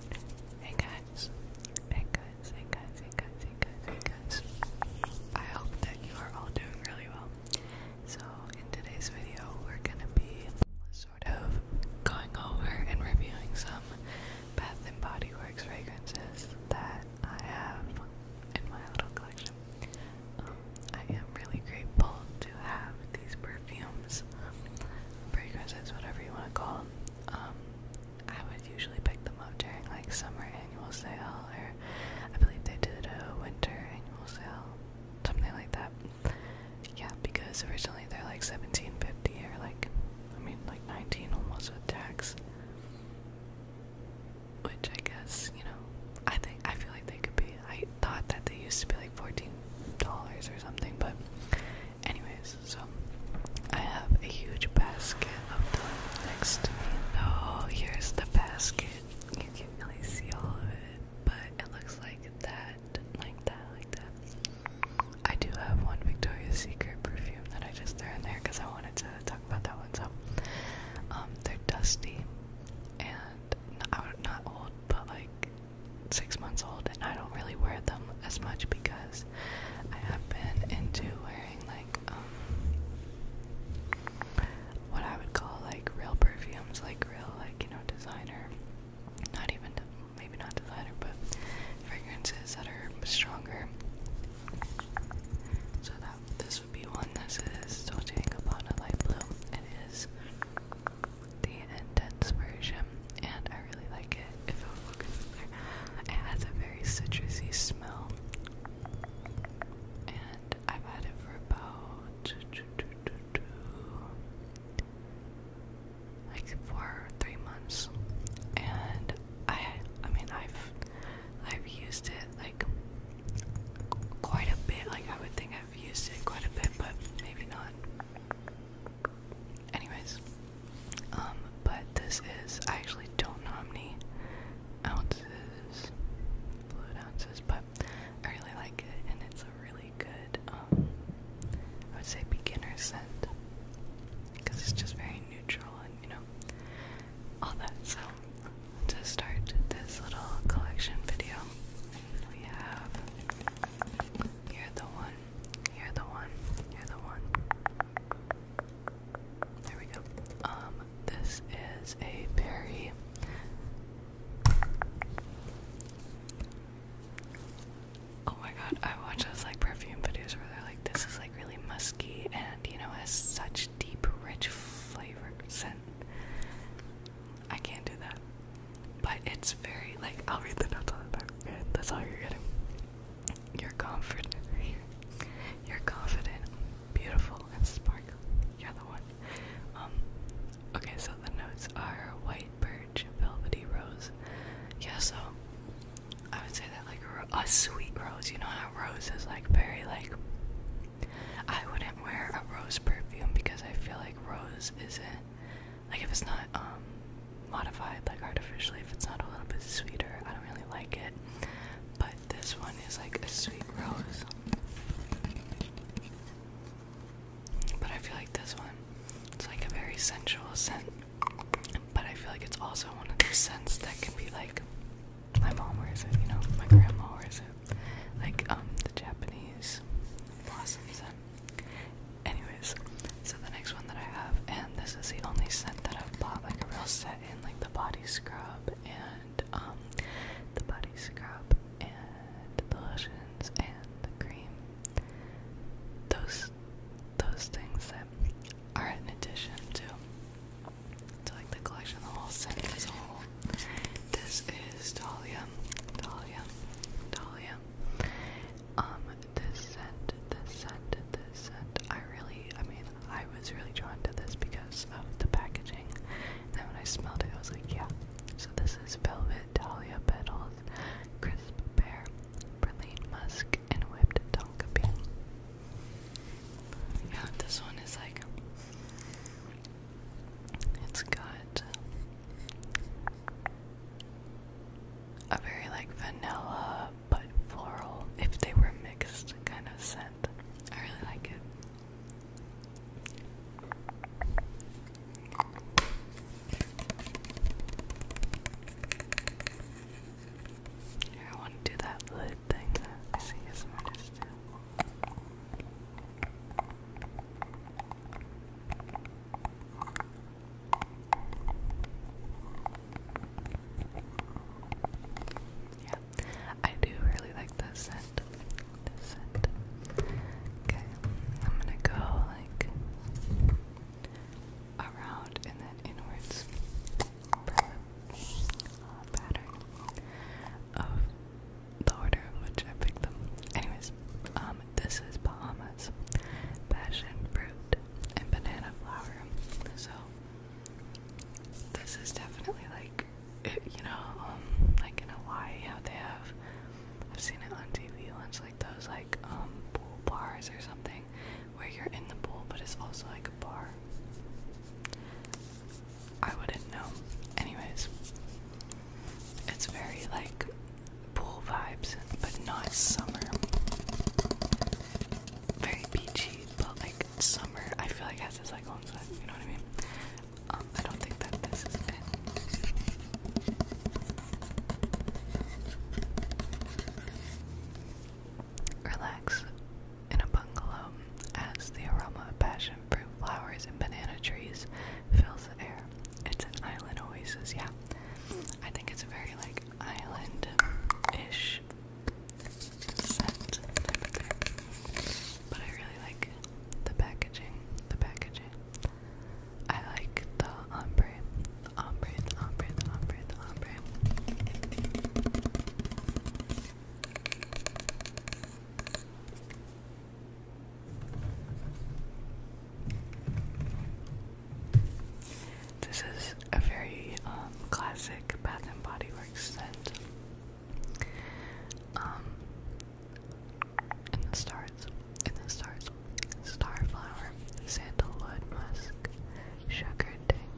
Hey guys, hey guys, hey guys, hey guys, hey guys, I hope that you are all doing really well. So, in today's video, we're gonna be sort of going over and reviewing some Bath and Body Works fragrances that I have in my little collection. Um, I am really grateful to have these perfumes, fragrances, whatever you want to call them. Um, I would usually pick them up during like summer annual sale, or I believe they did a winter annual sale, something like that. Yeah, because originally they're like seventeen fifty or like, I mean like nineteen almost with tax. Which I guess you know, I think I feel like they could be. I thought that they used to be like fourteen dollars or something, but Anyways, so I have a huge basket of next to me. So oh, here's the basket. You can really see all of it, but it looks like that, like that, like that. I do have one Victoria's Secret perfume that I just threw in there because I wanted to talk about that one. So um, they're dusty and not, not old, but like six months old, and I don't really wear them as much because I have been into wearing like um, what I would call like real perfumes, like real like you know designer, not even maybe not designer, but fragrances that are stronger. So that this would be one. This is Dolce & Gabbana light blue. It is the intense version, and I really like it. If I'll look in there, it has a very citrusy smell, and I've had it for about like four three months, and I, I mean, I've, I've used it like quite a bit. Like I would think I've used it quite a bit, but maybe not. Anyways, um, but this is, I actually don't know how many ounces, fluid ounces, but I really like it and it's a really good, um, I would say beginner scent because it's just very neutral and, you know, all that. So, to start this little collection video, we have here the one you're the one. You're the one. There we go. Um, this is a very Oh my god, I watch those like perfume videos where they're like, this is like really musky and you know has such deep, rich flavor scent. I can't do that. But it's very like I'll read the notes on the back. That's all you're getting. You're confident. You're confident, beautiful, and sparkly. You're the one. Um. Okay, so the notes are white birch, velvety rose. Yeah, so I would say that like a, a sweet rose. You know how rose is like very like. I wouldn't wear a rose perfume because I feel like rose isn't like if it's not um modified like artificially, if it's not a little bit sweeter, I don't really like it. But this one is like a sweet rose. But I feel like this one, it's like a very sensual scent. But I feel like it's also one of the scents that can be like my mom wears it, you know, my grandma wears it. Like um the Japanese blossom scent. Uh, Anyways, so the next one that I have, and this is the only set that I've bought like a real set in, like the body scrub and um the body scrub and the lotions and the cream. Those those things that are in addition to to like the collection, the whole set as a whole. This is Dahlia, Dahlia, Dahlia. Um, this scent, this scent, this scent. I really, I mean, I was really drawn to this because of the packaging. And then when I smelled it, I was like, yeah. So this is Velvet Dahlia Petals, Crisp Pear, Praline Musk, and Whipped Tonka Bean. Yeah, this one is like, it's good a very like vanilla but floral, if they were mixed, kind of scent. I really like it. I want to do that lid thing I see as artists do. Yeah, I do really like the scent. The scent. Okay, I'm gonna go like around and then inwards pattern of the order in which I picked them. Anyways, um, this is Bahamas. Passion fruit and banana flower. So this is definitely like you know, um, like in Hawaii how they have I've seen it on TV once like those like um pool bars or something where you're in the pool but it's also like a bar. I wouldn't know. Anyways, it's very like pool vibes, but not summer. Very beachy, but like summer. I feel like it has its like own set. You know what I mean? Um, I don't think that this is it. Relax in a bungalow as the aroma of passion fruit flowers and banana trees fills the air. It's an island oasis, yeah. I think it's a very like island-ish scent But I really like the packaging. The packaging. I like the ombre. ombre, ombre, ombre, ombre. This is a very um, classic Bath and Body Works scent. Um, in the stars, starflower, sandalwood musk, sugar dang,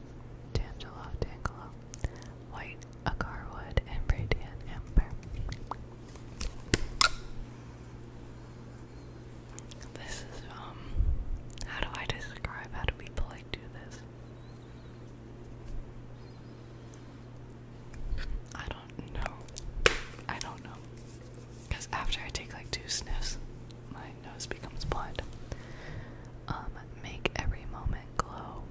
tangelo, tangelo, white agarwood, and radiant amber. This is, um, how do I describe how do people like do this? I don't know. I don't know. Because after I take like two sniffs, my nose becomes blood. Um, make every moment glow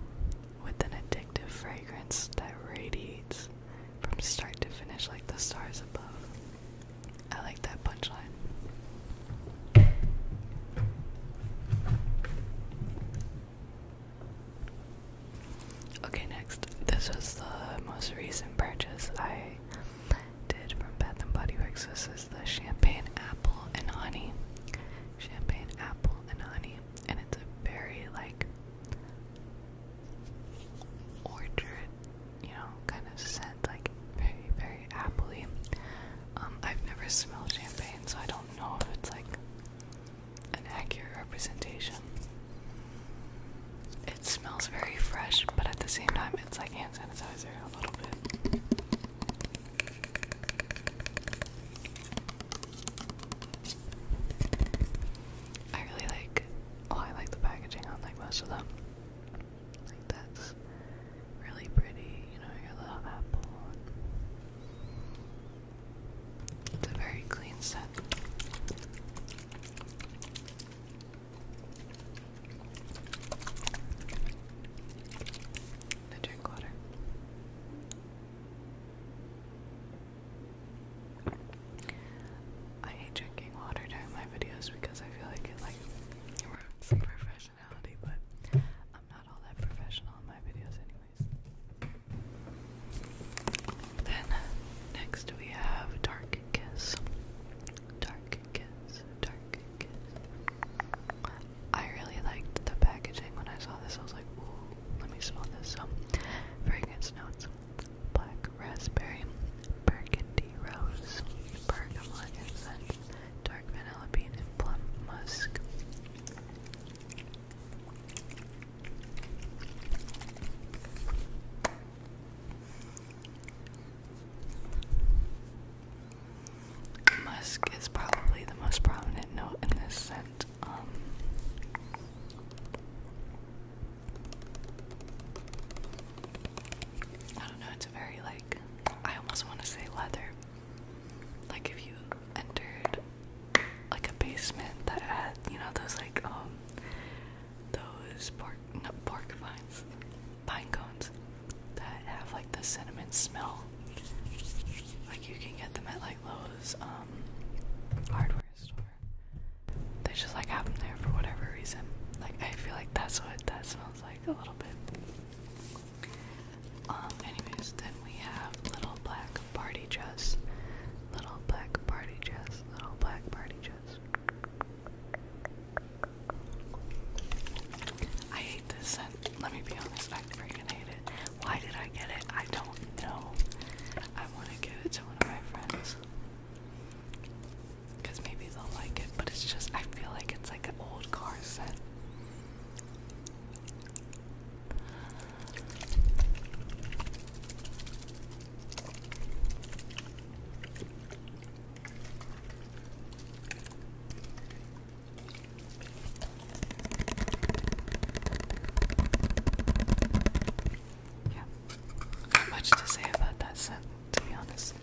with an addictive fragrance that radiates from start to finish, like the stars above. I like that punchline. Okay, next. This was the most recent purchase I did from Bath and Body Works. This is the champagne apple and honey. Champagne apple and honey, and it's a very like orchard, you know, kind of scent, like very, very appley. Um, I've never smelled champagne, so I don't know if it's like an accurate representation. It smells very fresh, but at the same time, it's like hand sanitizer a little bit. I really like oh, I like the packaging I like most of them. Like that's really pretty, you know, your love apple. It's a very clean set. The drink water. I hate drinking water during my videos because I feel like it like ruins the professionality, but I'm not all that professional in my videos anyways. Then next we have Dark Kiss. Dark Kiss, Dark Kiss. I really liked the packaging when I saw this. I was like, ooh, let me smell this. Very good notes black raspberry, burgundy rose, bergamot incense, dark vanilla bean, and plum musk. Musk is probably the most prominent note in this scent. Um, I don't know, it's a very like I almost want to say leather. Like if you entered like a basement that had, you know, those like um those pork pork vines. Pine cones that have like the cinnamon smell. Like you can get them at like Lowe's um hardware store. They just like happen there for whatever reason. Like I feel like that's what that smells like a little bit. Um. Anyways, then we have little black party dress. Little black party dress. Little black party dress. I hate this scent. Let me be honest. I freaking hate it. Why did I get it? I don't know. I want to give it to one of my friends. Because maybe they'll like it, but it's just, I feel like it's like an old car set. Yeah. Not much to say about that set, to be honest.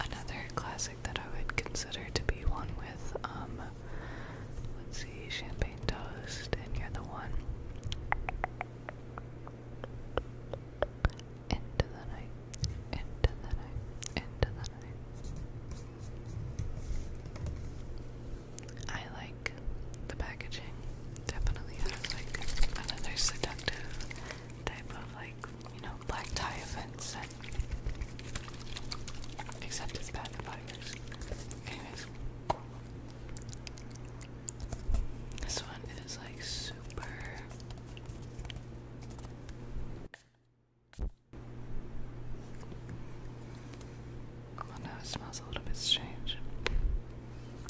Another classic that I would consider to be one with, um, let's see, champagne toast, and you're the one. Into the night, into the night, into the I like the packaging. Definitely has like another seductive type of like, you know, black tie event set. Except it's bad Anyways. This one is like super Oh no, it smells a little bit strange.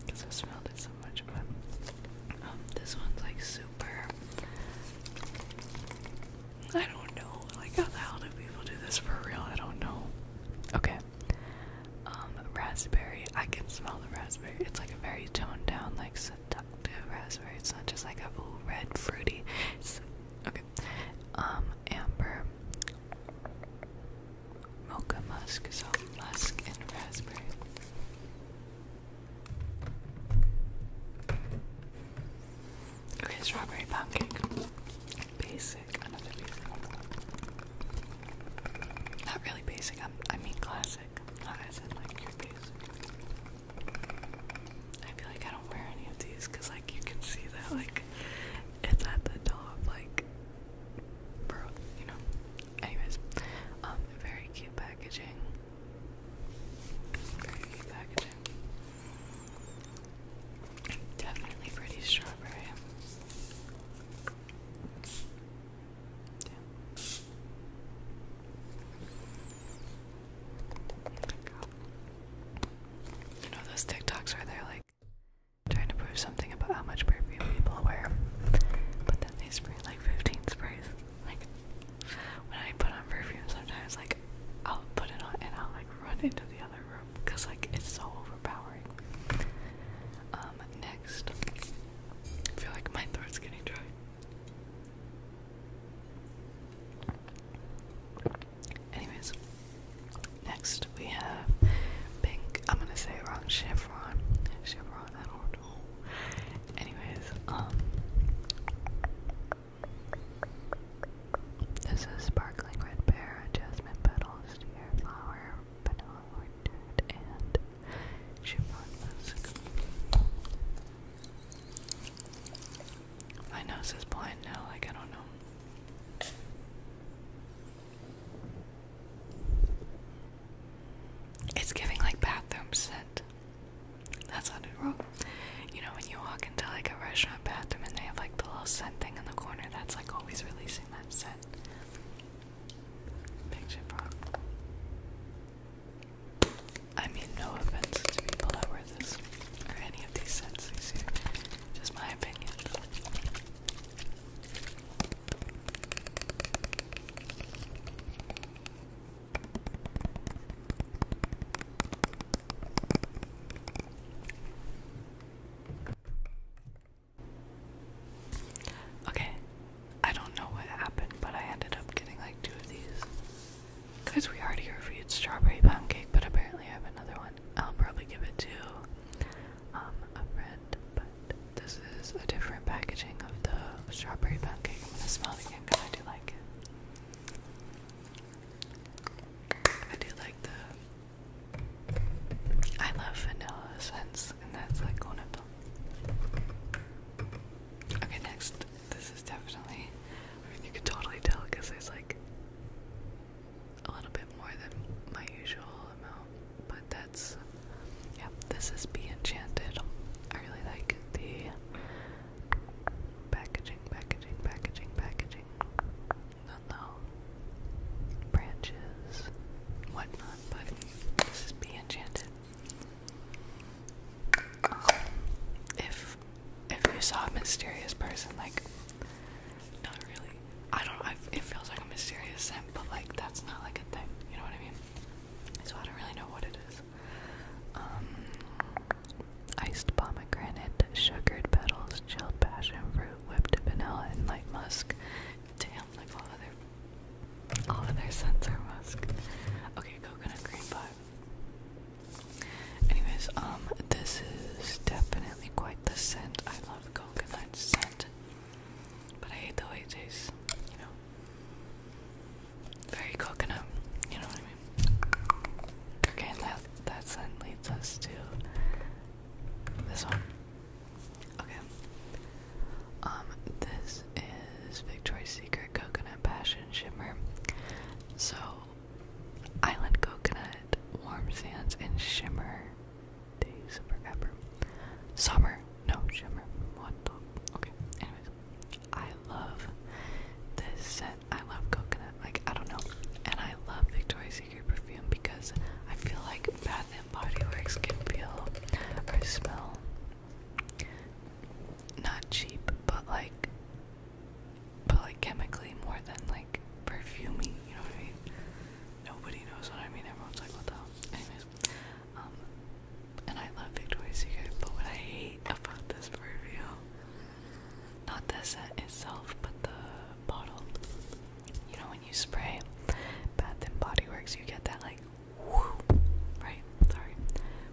Because i smelled it so much, but um, this one's like super. I don't know. Like, how the hell do people do this for real? I don't know. Okay. Um, raspberry. I can smell the raspberry. It's like a very toned down, like seductive raspberry. It's not just like a ooh, red fruity. okay. Um, amber, mocha musk, so musk and raspberry. Okay, strawberry pound Basic, another basic Not really basic, I mean classic. Not as in like your basic. I feel like I don't wear any of these because, like, you can see that, like, it's at the top, like, bro, you know. Anyways, um, very cute packaging. Very cute packaging. Definitely pretty strawberry. Yeah. You know those TikToks where they're like trying to prove something about how much perfume people wear, but then they spray like 15 sprays. Like when I put on perfume, sometimes like I'll put it on and i like run into the other room because like it's so overpowering. Um, next, I feel like my throat's getting dry. Anyways, next we have pink. I'm gonna say it wrong. Chevron. Chevron. I do Anyways, um, this is sparkling red pear, jasmine petals, deer flower, vanilla orchard, and chevron my nose is blind now, like I don't know. It's giving like bathroom scent. That's not it wrong. You know when you walk into like a restaurant bathroom and they have like the little scent thing in the corner that's like always releasing that scent. Picture prop. I mean, no offense to people that wear this or any of these scents. just my opinion. Okay, I don't know what happened, but I ended up getting like two of these. Cause we already reviewed strawberry pound cake, but apparently I have another one. I'll probably give it to um, a friend, but this is a different packaging of the strawberry pound cake. I'm gonna smell it again because I do like it. I do like the. I love vanilla scents, and that's like one of them. Okay, next. This is definitely you can totally tell because there's like a little bit more than my usual amount, but that's yeah. This is Be Enchanted. I really like the packaging, packaging, packaging, packaging. Not the branches, whatnot, but this is Be Enchanted. Um, if if you saw a mysterious person, like, not really. I don't it feels like a mysterious scent, but like, that's not like a thing, you know what I mean? So I don't really know what it is. Um, iced pomegranate, sugared petals, chilled passion fruit, whipped vanilla, and light musk. Damn, like all of their, all of scents are musk. Okay, coconut cream pie. Anyways, um, this is definitely quite the scent. I love coconut scent, but I hate the way it tastes, you know. Very coconut, you know what I mean? Okay, and that, that scent leads us to this one. Okay. Um, this is Victoria's Secret Coconut Passion Shimmer. So, Island coconut, warm sands, and shimmer. Days forever. Summer, no shimmer. What the? Okay. Anyways, I love this scent. I love coconut. Like I don't know, and I love Victoria's Secret perfume because I feel like Bath and Body Works can feel or smell not cheap, but like but like chemically more than like perfuming, you know what I mean? Nobody knows what I mean, everyone's like, what the hell? Um, and I love Victoria's Secret, but what I hate about this perfume, not the scent itself, but the bottle. You know, when you spray Bath and Body Works, you get that like, whoo, right? Sorry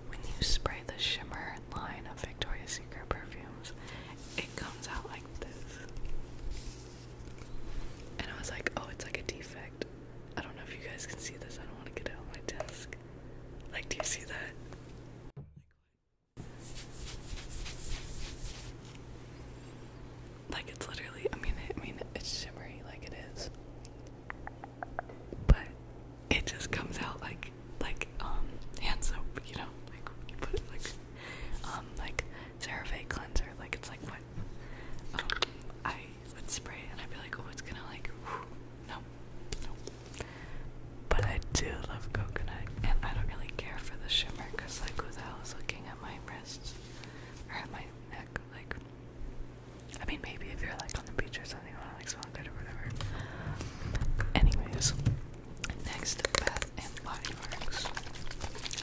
when you spray the shimmer line of Victoria's Secret perfumes, it comes out like this. And I was like, oh, it's like a defect. I don't know if you guys can see this. I don't want to get it on my desk. Like, do you see that? Like it's literally, I mean, I mean, it's shimmery like it is, but it just comes out like like um hand soap, you know, like you put it like um like CeraVe cleanser, like it's like what um I would spray and I'd be like, oh, it's gonna like whew, no, no. But I do love coconut, and I don't really care for the shimmer because like who the hell is looking at my wrists or at my neck, like. I mean, maybe if you're like on the beach or Anyways, next Bath and Body Works.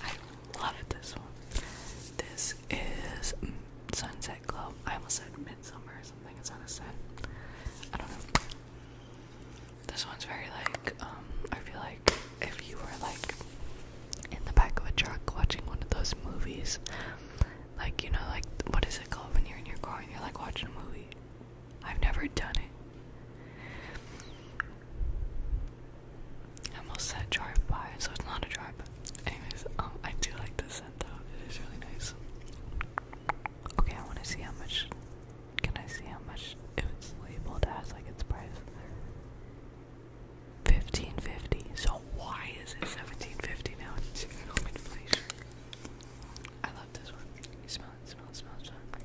I love this one. This is Sunset Glow. I almost said Midsummer or something. It's on a set. I don't know. This one's very like, um, I feel like if you were like in the back of a truck watching one of those movies, like, you know, like, what is it called when you're in your car and you're like watching a movie? I've never done it. I am almost said drive by, so it's not a drive by. Anyways, um, I do like this scent though, it is really nice. Okay, I want to see how much. Can I see how much if it's labeled as like its price? 1550. So why is it 1750 now? It's inflation. I love this one. Smell smell it, smell it, smell it.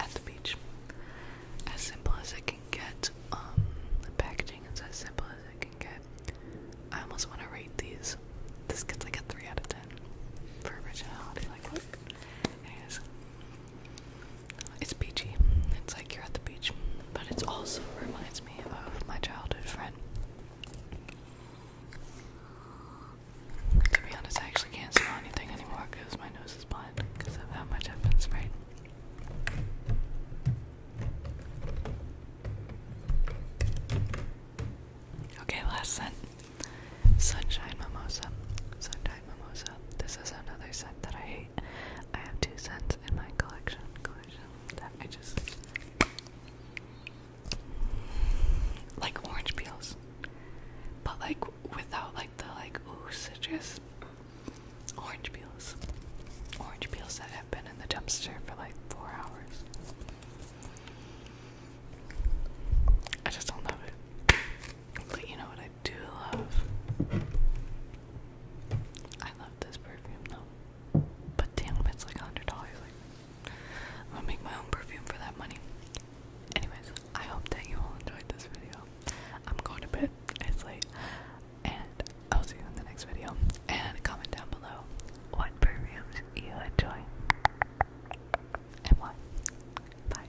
At the beach. As simple as it can get. Um, the packaging is as simple as it can get. I almost want to rate these. This gets like a 3 out of 10 for originality. Like, what? Anyways, it's beachy. It's like you're at the beach. But it also reminds me of my childhood friend. To be honest, I actually can't smell anything anymore because my nose is blind because of how much I've been sprayed. Okay, last scent. Sunshine Mimosa. Sunshine mimosa. This is another scent that I hate. I have two scents in my collection that I just like orange peels. But like without like the like ooh citrus orange peels. Orange peels that have been in the dumpster for like four hours. I just don't love it. But you know what I do love? I love this perfume though. But damn, it's like a hundred dollars. Like, I'm gonna make my own perfume for that money. Anyways, I hope that you all enjoyed this video. I'm going to bed. It's late, and I'll see you in the next video. And comment down below what perfumes you enjoy and why. Bye.